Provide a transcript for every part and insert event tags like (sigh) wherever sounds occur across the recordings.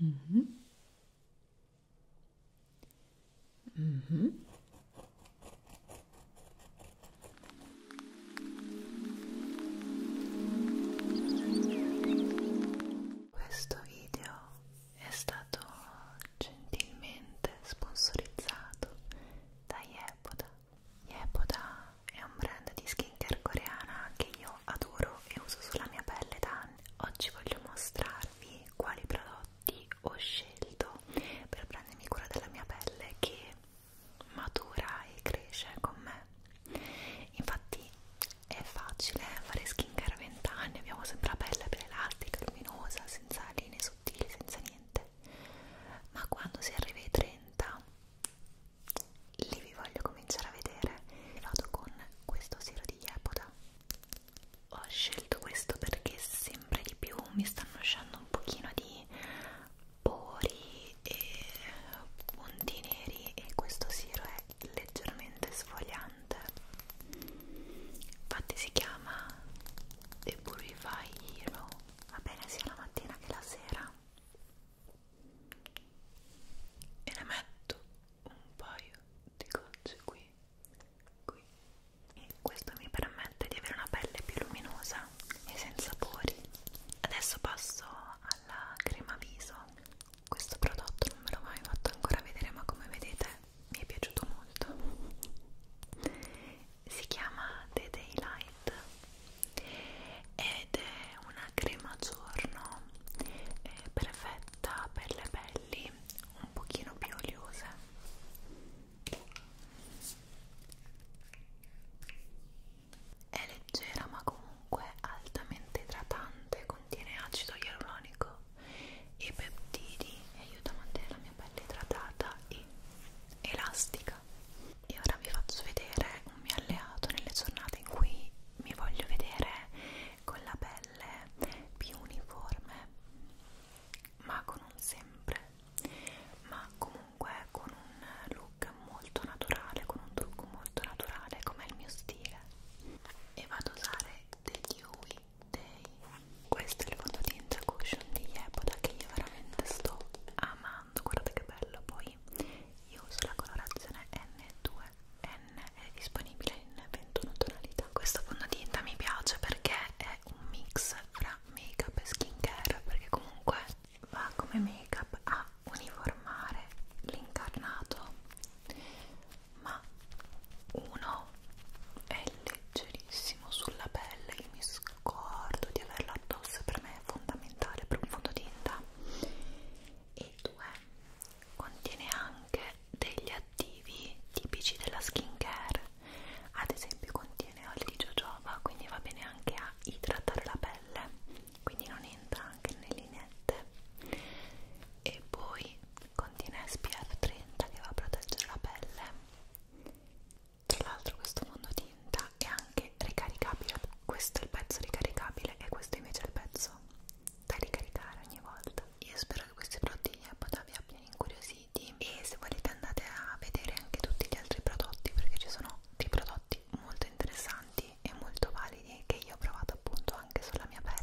Mm -hmm. Mm -hmm. Questo video è stato gentilmente sponsorizzato da Yepoda. Yepoda è un brand di skincare coreana che io adoro e uso sulla mia pelle da anni. Oggi voglio mostrarvi quali prodotti ho scelto per prendermi cura della mia pelle che matura e cresce con me. Infatti poi è facile fare skincare a 20 anni, abbiamo sempre la pelle per elastica, luminosa, senza linee sottili, senza niente. Ma quando si arriva ai 30, lì vi voglio cominciare a vedere. Vado con questo siero di Yepoda. Ho scelto questo perché sempre di più mi stanno uscendo un pochino di pori e punti neri e questo siero è leggermente sfogliante infatti si chiama The Purify Hero va bene sia la mattina che la sera e ne metto un paio di gocce qui qui e questo mi permette di avere una pelle più luminosa e senza pori adesso passo alla crema viso questo prodotto non me l'ho mai fatto ancora vedere ma come vedete mi è piaciuto molto si chiama The Daylight ed è una crema giorno eh, perfetta per le pelli un pochino più oliose è leggera ma comunque altamente idratante contiene acido ialuronico e peptidi e aiuta a mantenere la mia pelle idratata e elastica. E ora vi faccio vedere un mio alleato nelle giornate in cui mi voglio vedere con la pelle più uniforme, ma con un sempre, ma comunque con un look molto naturale, con un trucco molto naturale come è il mio stile e vado a usare degli Huey Day questo è il fondotinta cushion di Yepoda che io veramente sto amando guardate che bello poi io uso la colorazione N2N è disponibile in 21 tonalità questo fondotinta mi piace perché è un mix fra make up e skincare perché comunque va come make up a uniformare l'incarnato ma uno è leggerissimo sulla pelle, io mi scordo di averlo addosso, per me è fondamentale per un fondotinta e due, contiene anche degli attivi tipici della skincare ad esempio contiene olio di jojoba, quindi va bene anche a idratare la pelle quindi non entra anche nelle lineette e poi contiene SPF 30 che va a proteggere la pelle tra l'altro questo fondotinta è anche ricaricabile questo è il pezzo ricaricabile e questo invece è il pezzo da ricaricare ogni volta io spero che questi prodotti vi abbiano incuriositi e se volete andate a vedere anche tutti gli altri prodotti perché ci sono dei prodotti molto interessanti e molto validi che io ho provato appunto anche sulla mia pelle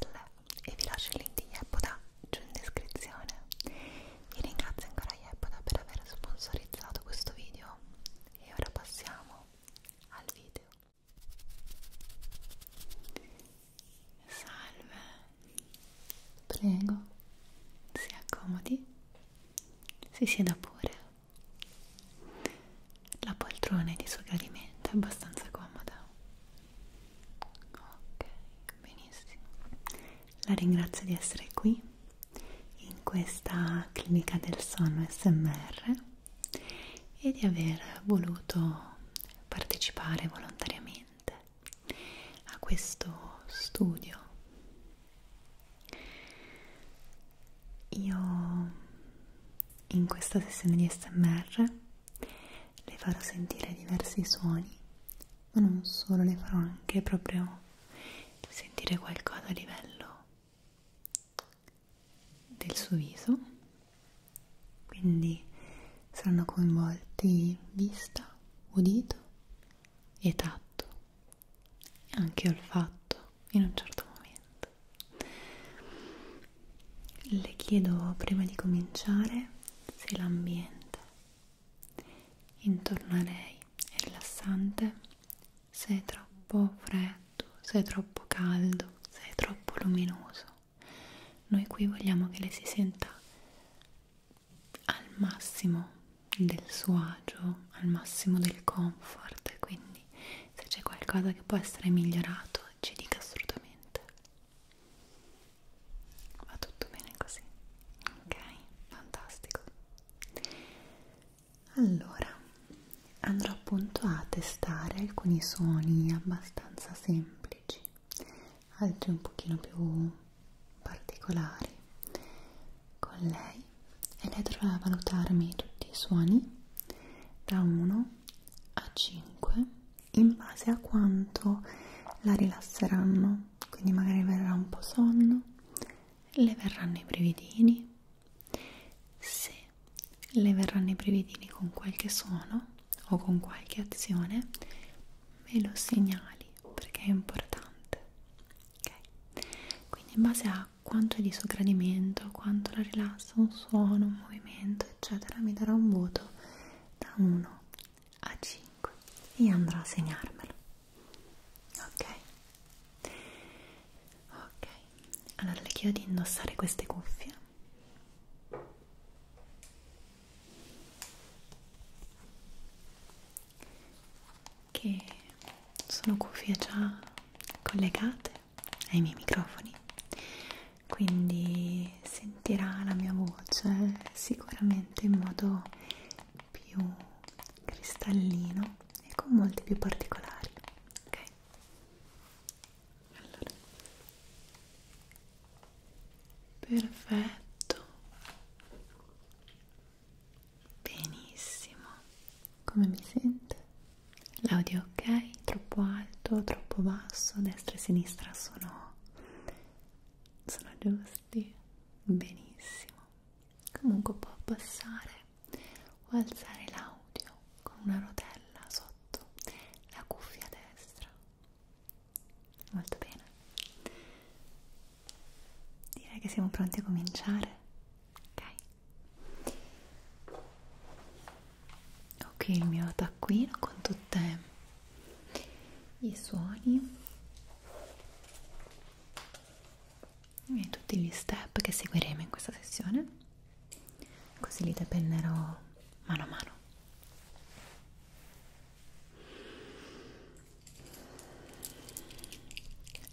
e vi lascio il link di Yepoda giù in descrizione. Vi ringrazio ancora Yepoda per aver sponsorizzato questo video e ora passiamo al video. Salve, prego, si accomodi, si sieda pure la poltrona è di suo gradimento, è abbastanza comoda. Ok, benissimo. La ringrazio di essere qui in questa clinica del sonno SMR e di aver voluto partecipare volontariamente a questo studio. Io in questa sessione di SMR le farò sentire diversi suoni, ma non solo, le farò anche proprio sentire qualcosa a livello del suo viso, quindi saranno coinvolti vista, udito e tatto, e anche olfatto in un certo momento. Esatto. Le chiedo prima di cominciare se l'ambiente intorno a lei è rilassante, se è troppo freddo, se è troppo caldo, se è troppo luminoso. Noi qui vogliamo che lei si senta al massimo del suo agio, al massimo del comfort, quindi se c'è qualcosa che può essere migliorato ci dica assolutamente va tutto bene così ok fantastico allora andrò appunto a testare alcuni suoni abbastanza semplici altri un pochino più particolari con lei e lei dovrà valutarmi tutti i suoni da 1 a 5 in base a quanto la rilasseranno quindi magari verrà un po' sonno le verranno i brividini se le verranno i brividini con qualche suono o con qualche azione me lo segnali perché è importante ok quindi in base a quanto è di suo gradimento quanto la rilassa un suono un movimento 100 eccetera mi darà un voto da 1 a 5 e andrò a segnarmelo ok ok allora le chiedo di indossare queste cuffie che sono cuffie già collegate ai miei microfoni quindi sentirà la mia voce eh, sicuramente in modo più cristallino e con molti più particolari ok allora perfetto benissimo come mi sente l'audio ok, troppo alto, troppo basso, destra e sinistra sono, sono giusti, benissimo. Comunque può abbassare o alzare l'audio con una rotella sotto la cuffia destra. Molto bene. Direi che siamo pronti a cominciare. Ok ok il mio taccuino con tutti i suoni e tutti gli step che seguiremo in questa sessione così li dependerò mano a mano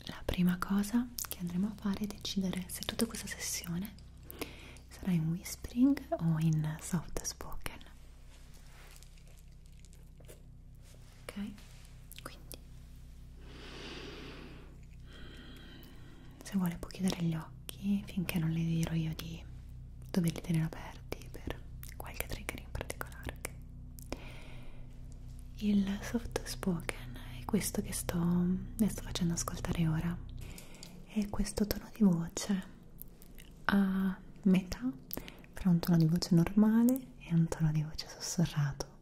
la prima cosa che andremo a fare è decidere se tutta questa sessione sarà in whispering o in soft spoken ok quindi se vuole può chiudere gli occhi finché non le dirò io di doverli tenere aperti per qualche trigger in particolare il soft spoken è questo che sto, ne sto facendo ascoltare ora è questo tono di voce a metà fra un tono di voce normale e un tono di voce sussurrato.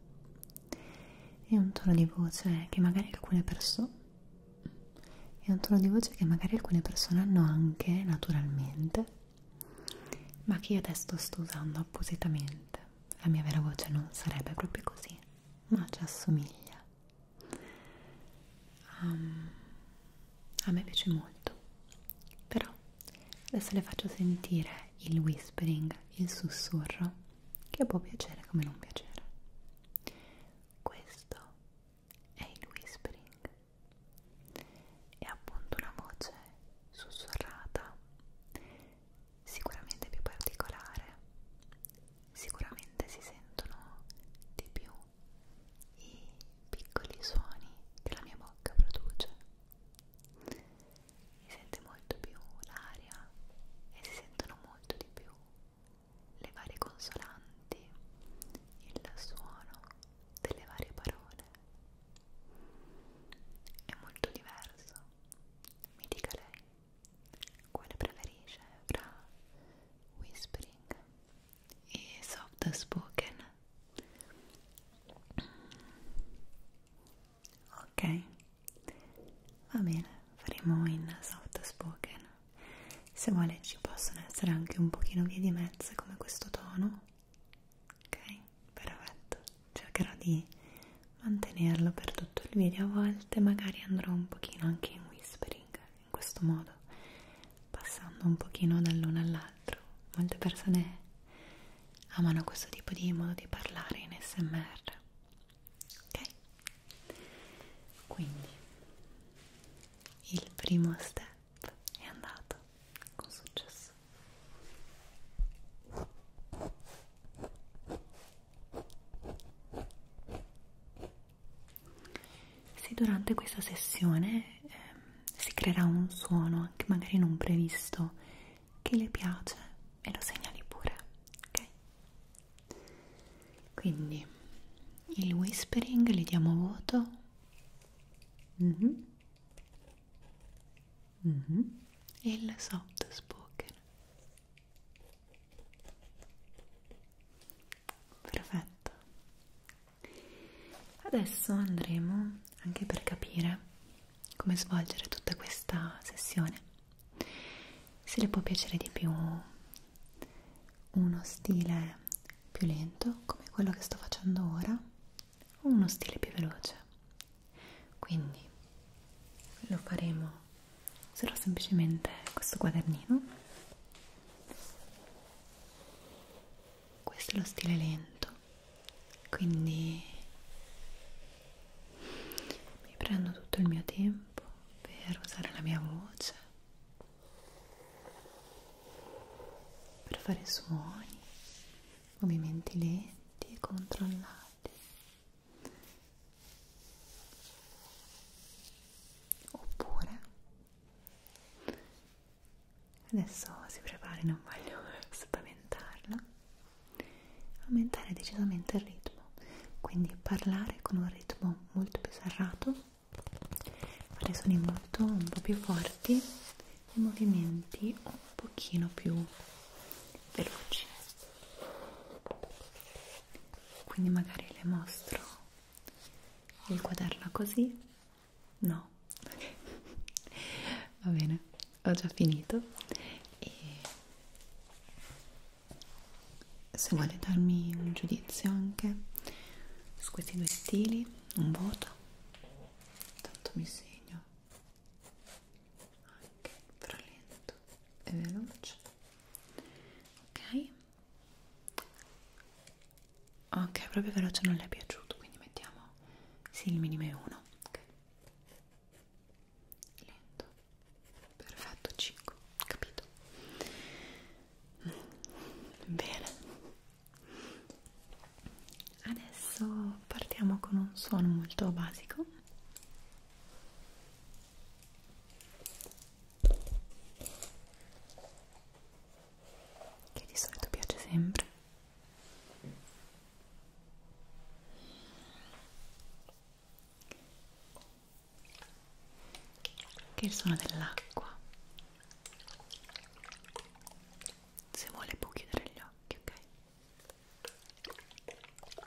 È un tono di voce che magari alcune persone è un tono di voce che magari alcune persone hanno anche naturalmente, ma che io adesso sto usando appositamente. La mia vera voce non sarebbe proprio così, ma ci assomiglia um, a me piace molto però adesso le faccio sentire il whispering il sussurro che può piacere come non piacere questo è il whispering è appunto una voce sussurrata sicuramente più particolare sicuramente si sentono di più i piccoli suoni che la mia bocca produce si sente molto più l'aria e si sentono molto di più le varie consonanti il suono delle varie parole è molto diverso mi dica lei quale preferisce fra whispering e soft spoken ok va bene faremo in soft spoken se vuole ci possono essere anche un pochino vie di mezzo come questo tono ok perfetto cercherò di mantenerlo per tutto il video a volte magari andrò un pochino anche in un whispering in questo modo passando un pochino dall'uno all'altro molte persone amano questo tipo di modo di parlare in smr ok quindi il primo step è andato con successo se durante questa sessione eh, si creerà un suono, anche magari non previsto, che le piace e lo segnali pure, ok? Quindi il whispering le diamo voto. Mm -hmm. Mm -hmm. E il soft spoken. Perfetto. Adesso andremo anche per capire come svolgere tutta questa sessione. Se le può piacere di più uno stile più lento come quello che sto facendo ora o uno stile più veloce. Quindi lo faremo userò semplicemente questo quadernino questo è lo stile lento quindi mi prendo tutto il mio tempo per usare la mia voce per fare suoni movimenti lenti e controllati oppure adesso si prepari non voglio (laughs) spaventarla aumentare decisamente il ritmo quindi parlare con un ritmo molto più serrato fare suoni molto un po' più forti e movimenti un pochino più veloci quindi magari le mostro il quaderno così no (laughs) va bene ho già finito e se vuole darmi un giudizio anche su questi due stili un voto tanto mi segno anche fra lento e veloce ok ok proprio veloce non le è piaciuto quindi mettiamo sì il minimo è 1 ok lento perfetto 5 capito bene adesso partiamo con un suono molto basico che di solito piace sempre che il suono dell'acqua se vuole può chiudere gli occhi ok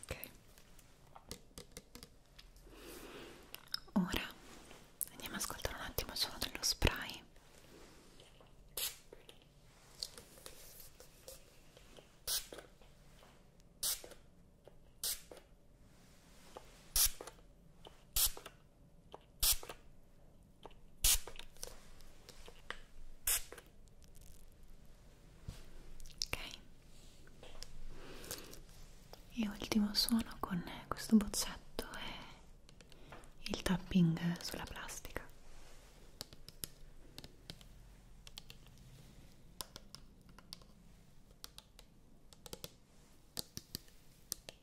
Ok. Ora andiamo a ascoltare un attimo il suono dello spray. ok ok e ultimo suono con questo boccetto è il tapping sulla plastica ok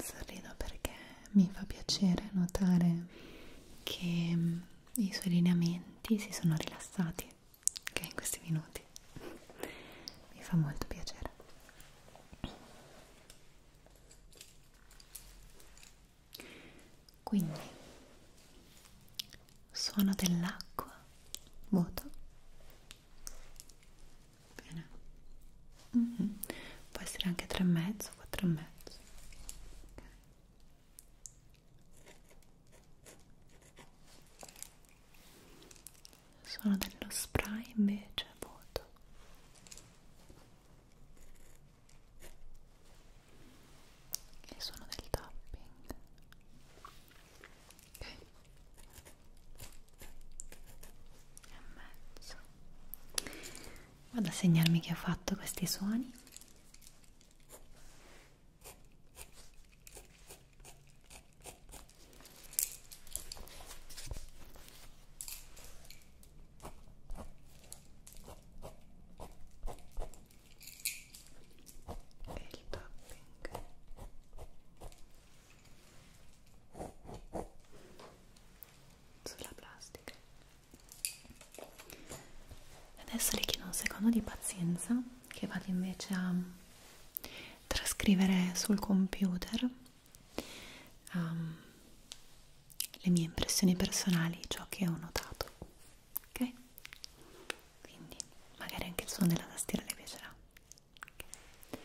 Sorrido perché mi fa piacere notare che mm, i suoi lineamenti si sono rilassati ok in questi minuti mi fa molto piacere quindi suono dell'acqua vuoto bene mm -hmm. può essere anche 3 e mezzo 4 e mezzo okay sono dello spray invece vuoto e sono del tapping ok e mezzo vado a segnarmi che ho fatto questi suoni e il tapping sulla plastica adesso richiedo un secondo di pazienza che vado invece a trascrivere sul computer um, le mie impressioni personali, ciò che ho notato, ok? Quindi magari anche il suono della tastiera le piacerà. Okay.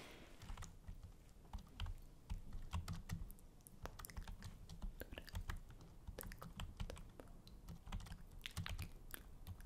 Due, tre, quattro, cinque,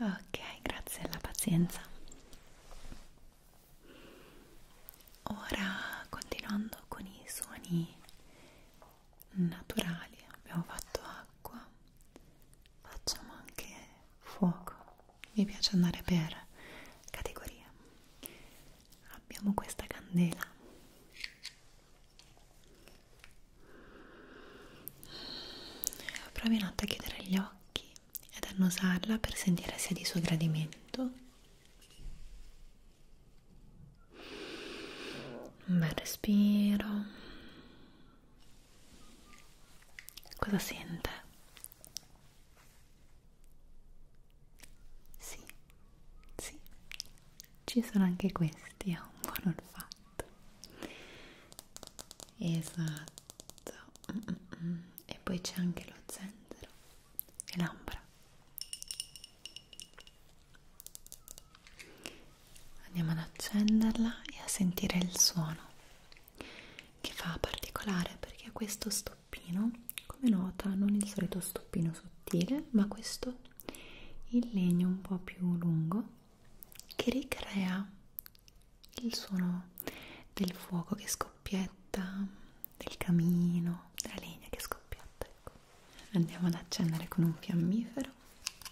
Ok, grazie alla pazienza. Ora, continuando con i suoni naturali, abbiamo fatto acqua, facciamo anche fuoco, mi piace andare per categoria. Abbiamo questa candela Provi un attimo a chiudere gli occhi ed annusarla per sentire se è di suo gradimento. Un bel respiro Cosa sente? Sì, sì, ci sono anche questi, ha un buon olfatto. Esatto. Mm, mm -mm. E poi c'è anche lo zenzero e l'ambra andiamo ad accenderla e a sentire il suono che fa particolare perché ha questo stoppino come nota non il solito stoppino sottile ma questo in legno un po' più lungo che ricrea il suono del fuoco che scoppietta del camino della legna che scoppietta ecco. andiamo ad accendere con un fiammifero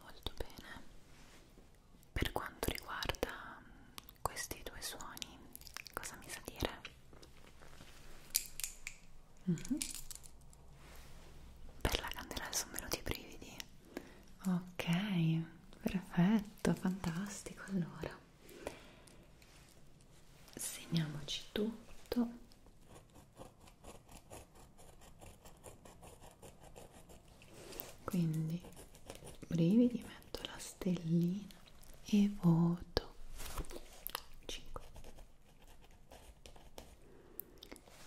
Molto bene. Per quanto riguarda questi due suoni, cosa mi sa dire? Mm -hmm. Per la candela sono venuti i brividi. Ok, perfetto, fantastico. Allora, segniamoci tutto quindi brividi metto la stellina e voto 5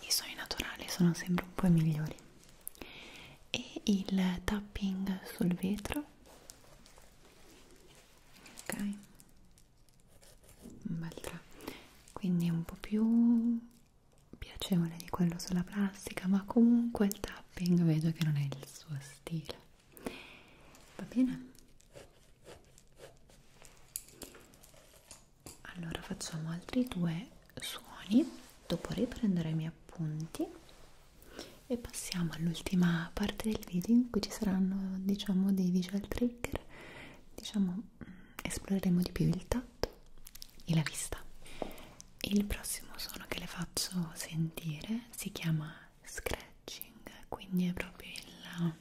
i suoni naturali sono sempre un po' migliori e il tapping sul vetro ok un bel 3 quindi è un po' più piacevole di quello sulla plastica ma comunque il tapping vedo che non è il suo stile va bene? allora facciamo altri due suoni dopo riprendere i miei appunti e passiamo all'ultima parte del video in cui ci saranno diciamo dei visual trigger trigger diciamo mm, esploreremo di più il tatto e la vista il prossimo suono che le faccio sentire si chiama scratching quindi è proprio il eh,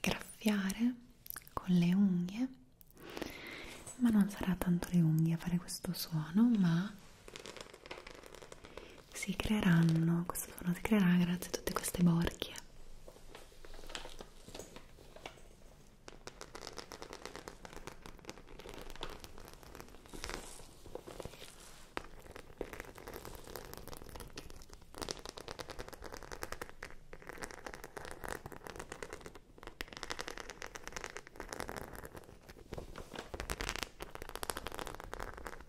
graffiare con le unghie ma non sarà tanto le unghie a fare questo suono ma si creeranno, questo suono si creerà grazie a tutte queste borchie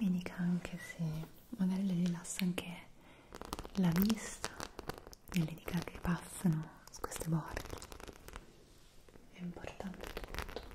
mi dica anche se magari le rilassa anche la vista delle dita che passano su queste borghe è importante tutto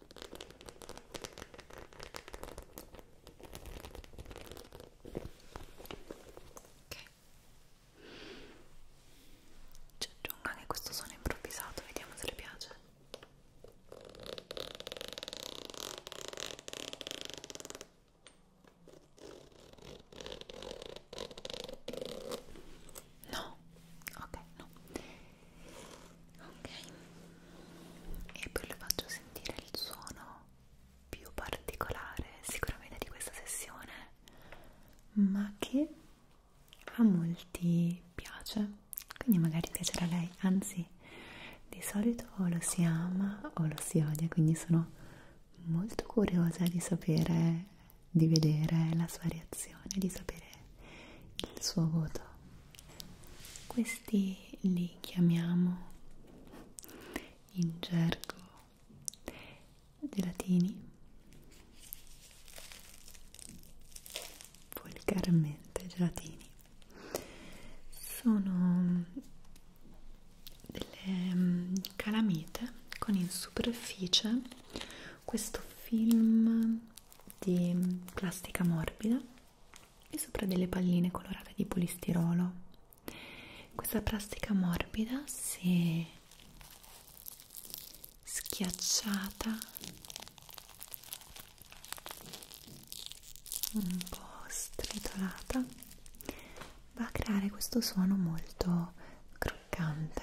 ok ci aggiungo anche questo suono improvvisato vediamo se le piace no ok no ok e poi le faccio sentire il suono più particolare sicuramente di questa sessione ma che a molti piace quindi magari piacerà a lei anzi di solito o lo si ama o lo si odia quindi sono molto curiosa di sapere di vedere la sua reazione di sapere il suo voto. Questi li chiamiamo in gergo gelatini volgarmente gelatini sono delle mm, calamite con in superficie questo film di plastica morbida e sopra delle palline colorate di polistirolo. Questa plastica morbida, se schiacciata un po' stritolata, va a creare questo suono molto croccante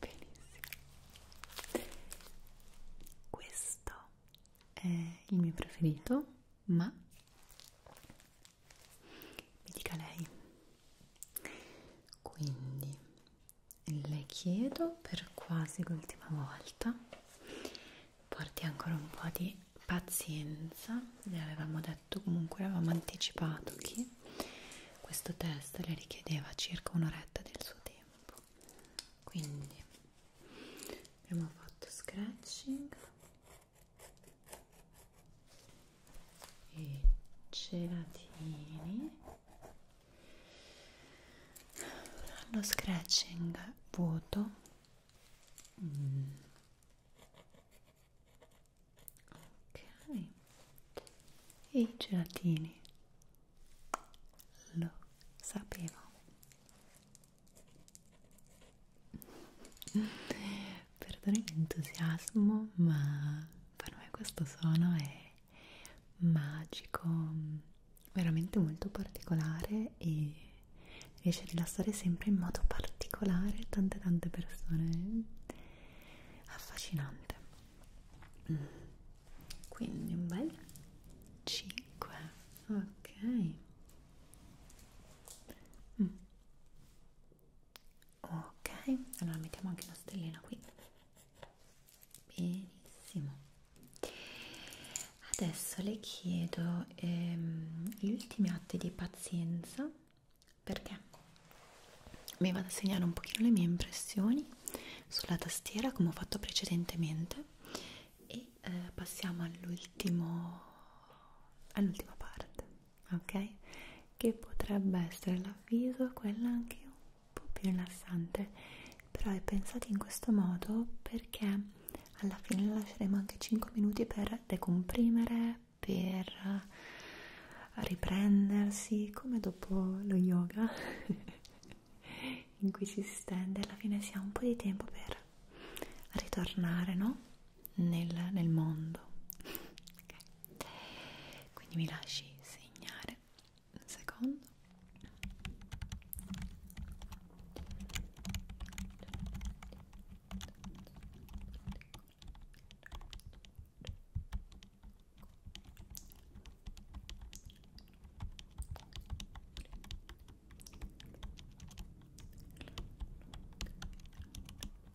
Benissimo. Questo è il mio preferito, ma mi dica lei quindi le chiedo per quasi l'ultima volta porti ancora un po' di pazienza le avevamo detto comunque avevamo anticipato che questo test le richiedeva circa un'oretta del suo tempo quindi abbiamo fatto scratching e ce la tieni lo scratching vuoto mm. ok e i gelatini lo sapevo perdoni l'entusiasmo ma per me questo suono è magico, veramente molto particolare e riesce a rilassare sempre in modo particolare tante tante persone, affascinante. Quindi un bel 5, ok. Mm ok allora mettiamo anche una stellina qui benissimo adesso le chiedo ehm, gli ultimi atti di pazienza perché mi vado a segnare un pochino le mie impressioni sulla tastiera come ho fatto precedentemente e eh, passiamo all'ultimo all'ultima parte ok? Che potrebbe essere l'avviso, quella anche un po' più rilassante, però è pensato in questo modo perché alla fine lasceremo anche 5 minuti per decomprimere, per riprendersi come dopo lo yoga (laughs) in cui si stende alla fine si ha un po' di tempo per ritornare no? nel, nel mondo okay. quindi mi lasci segnare un secondo ok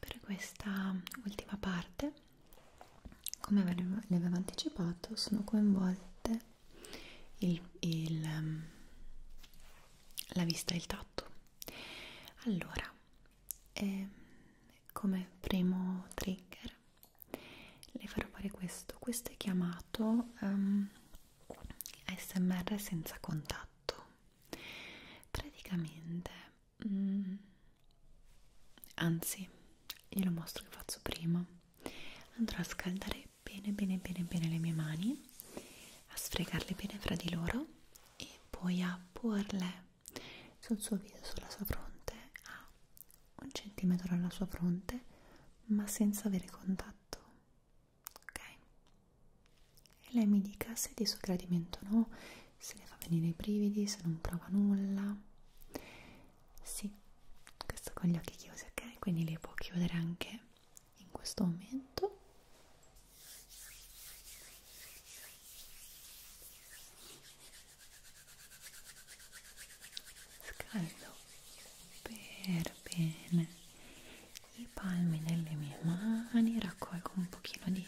per questa ultima parte come vi avevo anticipato sono coinvolte il, il, ehm, la vista e il tatto allora eh, come primo trigger le farò fare questo questo è chiamato um, ehm, smr senza contatto praticamente mm. anzi glielo mostro che faccio prima andrò a scaldare bene bene bene bene le mie mani a sfregarle bene fra di loro e poi a porle sul suo viso sulla sua fronte a un centimetro dalla sua fronte ma senza avere contatto ok e lei mi dica se è di suo gradimento o no se ne fa venire i brividi, se non prova nulla. Sì, questo con gli occhi chiusi, ok? Quindi li può chiudere anche in questo momento. Scaldo per bene i palmi delle mie mani, raccolgo un pochino di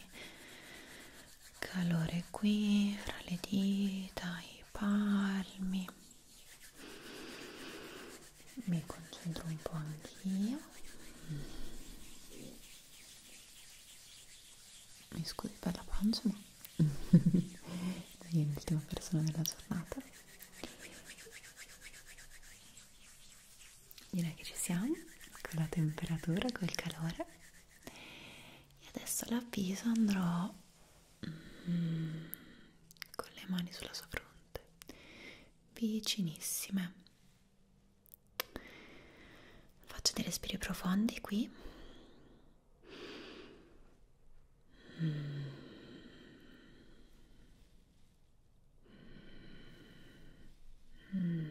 calore qui fra le dita, i palmi mi concentro un po' anch'io mm. mi scusi per la pancia ma (laughs) sei l'ultima persona della giornata direi che ci siamo con la temperatura, col calore e adesso l'avviso andrò mm, con le mani sulla sua fronte vicinissime faccio dei respiri profondi qui mm. Mm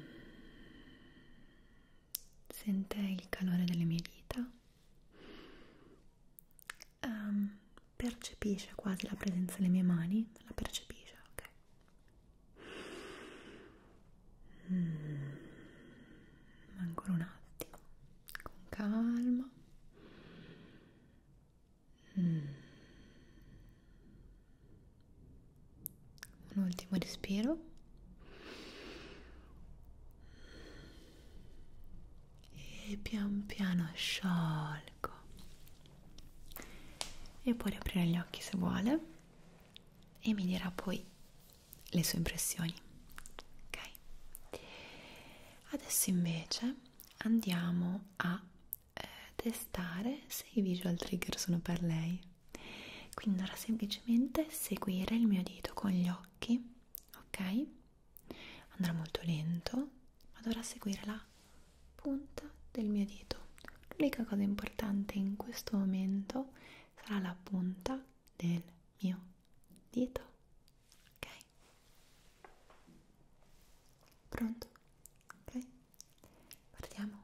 sente il calore delle mie dita, um, percepisce quasi la presenza delle mie mani, la percepisce, ok? Mm. Ancora un attimo, con calma. Mm un ultimo respiro e pian piano sciolgo e può riaprire gli occhi se vuole e mi dirà poi le sue impressioni ok adesso invece andiamo a eh, testare se i visual trigger sono per lei quindi dovrà semplicemente seguire il mio dito con gli occhi ok andrà molto lento ma dovrà seguire la punta del mio dito l'unica cosa importante in questo momento sarà la punta del mio dito ok pronto ok partiamo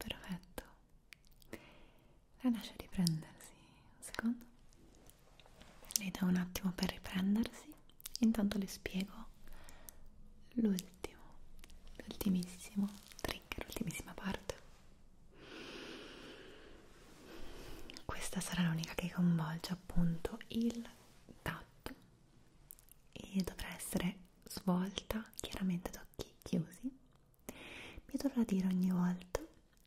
Perfetto, la lascia riprendersi un secondo, le do un attimo per riprendersi intanto le spiego l'ultimo, l'ultimissimo trigger, l'ultimissima parte. Questa sarà l'unica che coinvolge appunto il tatto e dovrà essere svolta chiaramente ad occhi chiusi. Mi dovrà dire ogni volta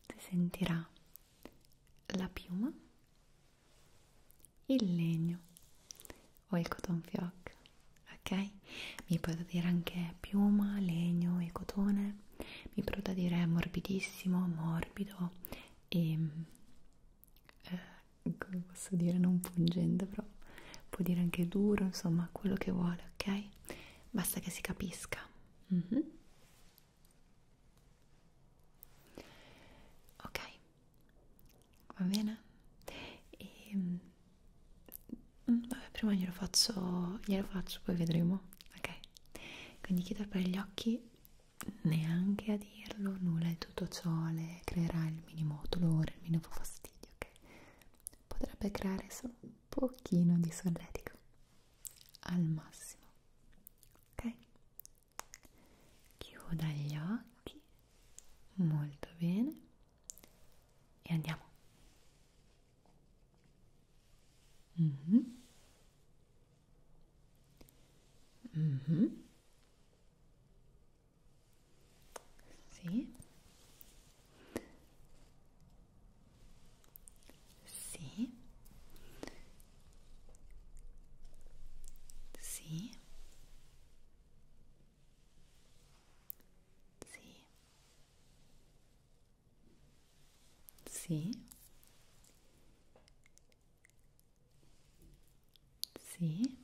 se sentirà la piuma il legno o il cotton fioc ok mi potete dire anche piuma legno e cotone mi potete dire morbidissimo morbido e eh, come posso dire non pungente però può dire anche duro insomma quello che vuole ok basta che si capisca mm -hmm. ok va bene? E, ehm, mm, vabbè, prima glielo faccio, glielo faccio, poi vedremo, ok? Quindi chi per gli occhi neanche a dirlo nulla di tutto ciò le creerà il minimo dolore, il minimo fastidio, ok? Potrebbe creare solo un pochino di solletico al massimo, ok? chiuda gli occhi molto bene e andiamo mm -hmm. Mm -hmm. Sì. Sì. Sì. Sì. Sì. Sì.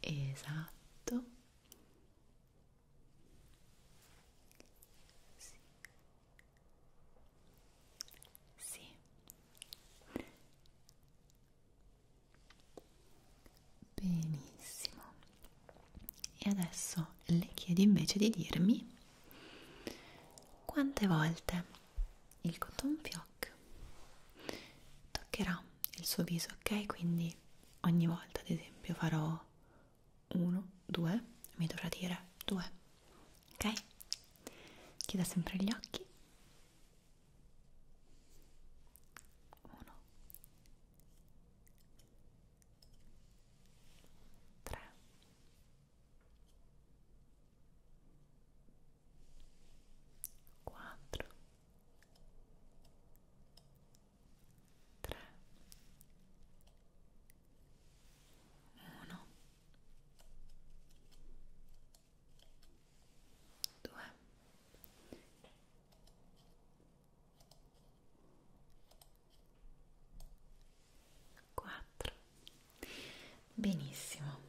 Esatto. Sì. Sì. Benissimo. E adesso le chiedo invece di dirmi quante volte il cotton fioc toccherà il suo viso, ok? Quindi ogni volta, ad esempio, farò 1, 2, mi dovrà dire 2, ok? Chiuda sempre gli occhi. Uno, tre, quattro, tre, uno due quattro benissimo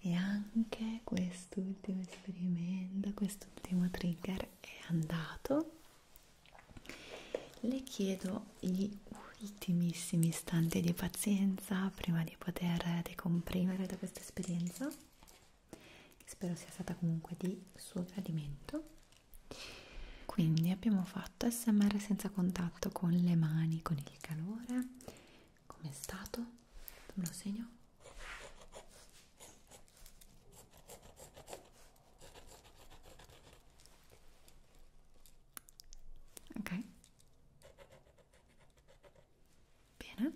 e anche quest'ultimo esperimento quest'ultimo trigger è andato le chiedo gli ultimissimi istanti di pazienza prima di poter decomprimere da questa esperienza, che spero sia stata comunque di suo gradimento. Quindi abbiamo fatto SMR senza contatto con le mani, con il calore. Com'è stato? Me lo segno. Ok. Bene,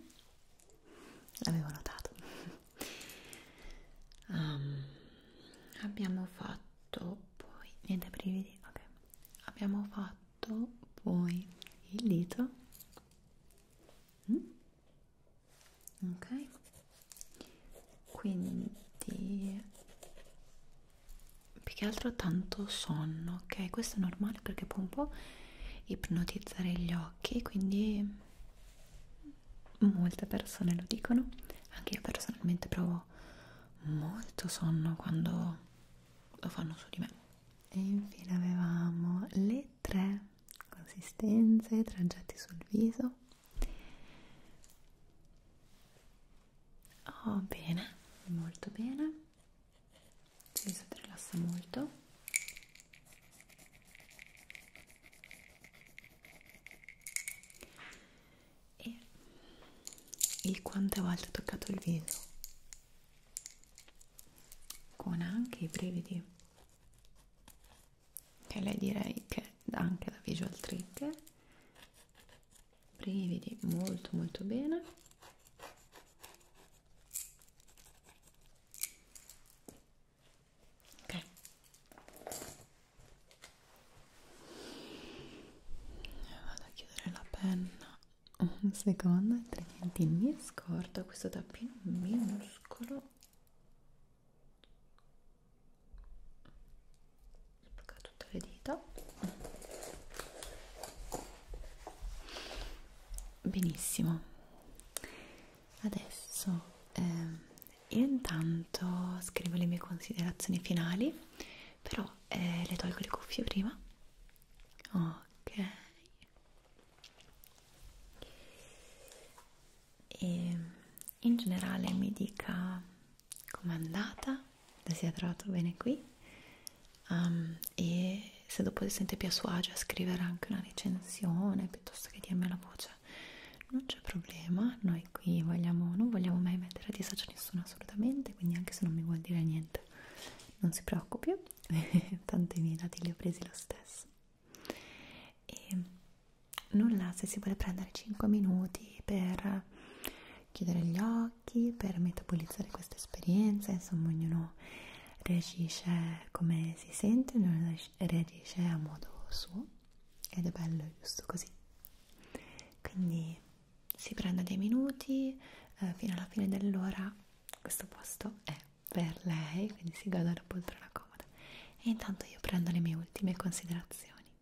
l'avevo notato. um, (laughs) abbiamo fatto poi niente brividi. Ok, abbiamo fatto poi il dito. Mm? Ok, quindi più che altro tanto sonno ok questo è normale perché può un po' ipnotizzare gli occhi quindi molte persone lo dicono anche io personalmente provo molto sonno quando lo fanno su di me e infine avevamo le tre consistenze traggetti sul viso Oh, bene, molto bene. Sì, ti rilassa molto. E il quante volte ho toccato il viso con anche i brividi che lei direi che anche da visual trigger brividi molto molto bene ok vado a chiudere la penna un secondo altrimenti mi scordo questo tappino minuscolo Spacca tutte le dita. Benissimo. Adesso eh, io intanto scrivo le mie considerazioni finali, però eh, le tolgo le cuffie prima. Ok. E ehm, in generale mi dica com'è andata, se si è trovato bene qui um, e se dopo si sente più a suo agio a scrivere anche una recensione piuttosto che dirmi la voce non c'è problema, noi qui vogliamo, non vogliamo mai mettere a disagio nessuno assolutamente, quindi anche se non mi vuol dire niente non si preoccupi, (laughs) tanto i miei dati li ho presi lo stesso. E nulla se si vuole prendere 5 minuti per chiudere gli occhi, per metabolizzare questa esperienza, insomma ognuno reagisce come si sente, ognuno reagisce a modo suo ed è bello giusto così. Quindi si prende dei minuti eh, fino alla fine dell'ora, questo posto è per lei, quindi si goda la poltrona comoda. E intanto io prendo le mie ultime considerazioni.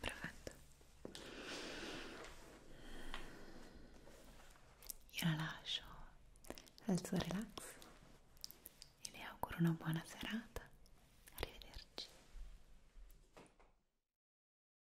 Perfetto. Io la lascio al suo relax e le auguro una buona serata. Arrivederci.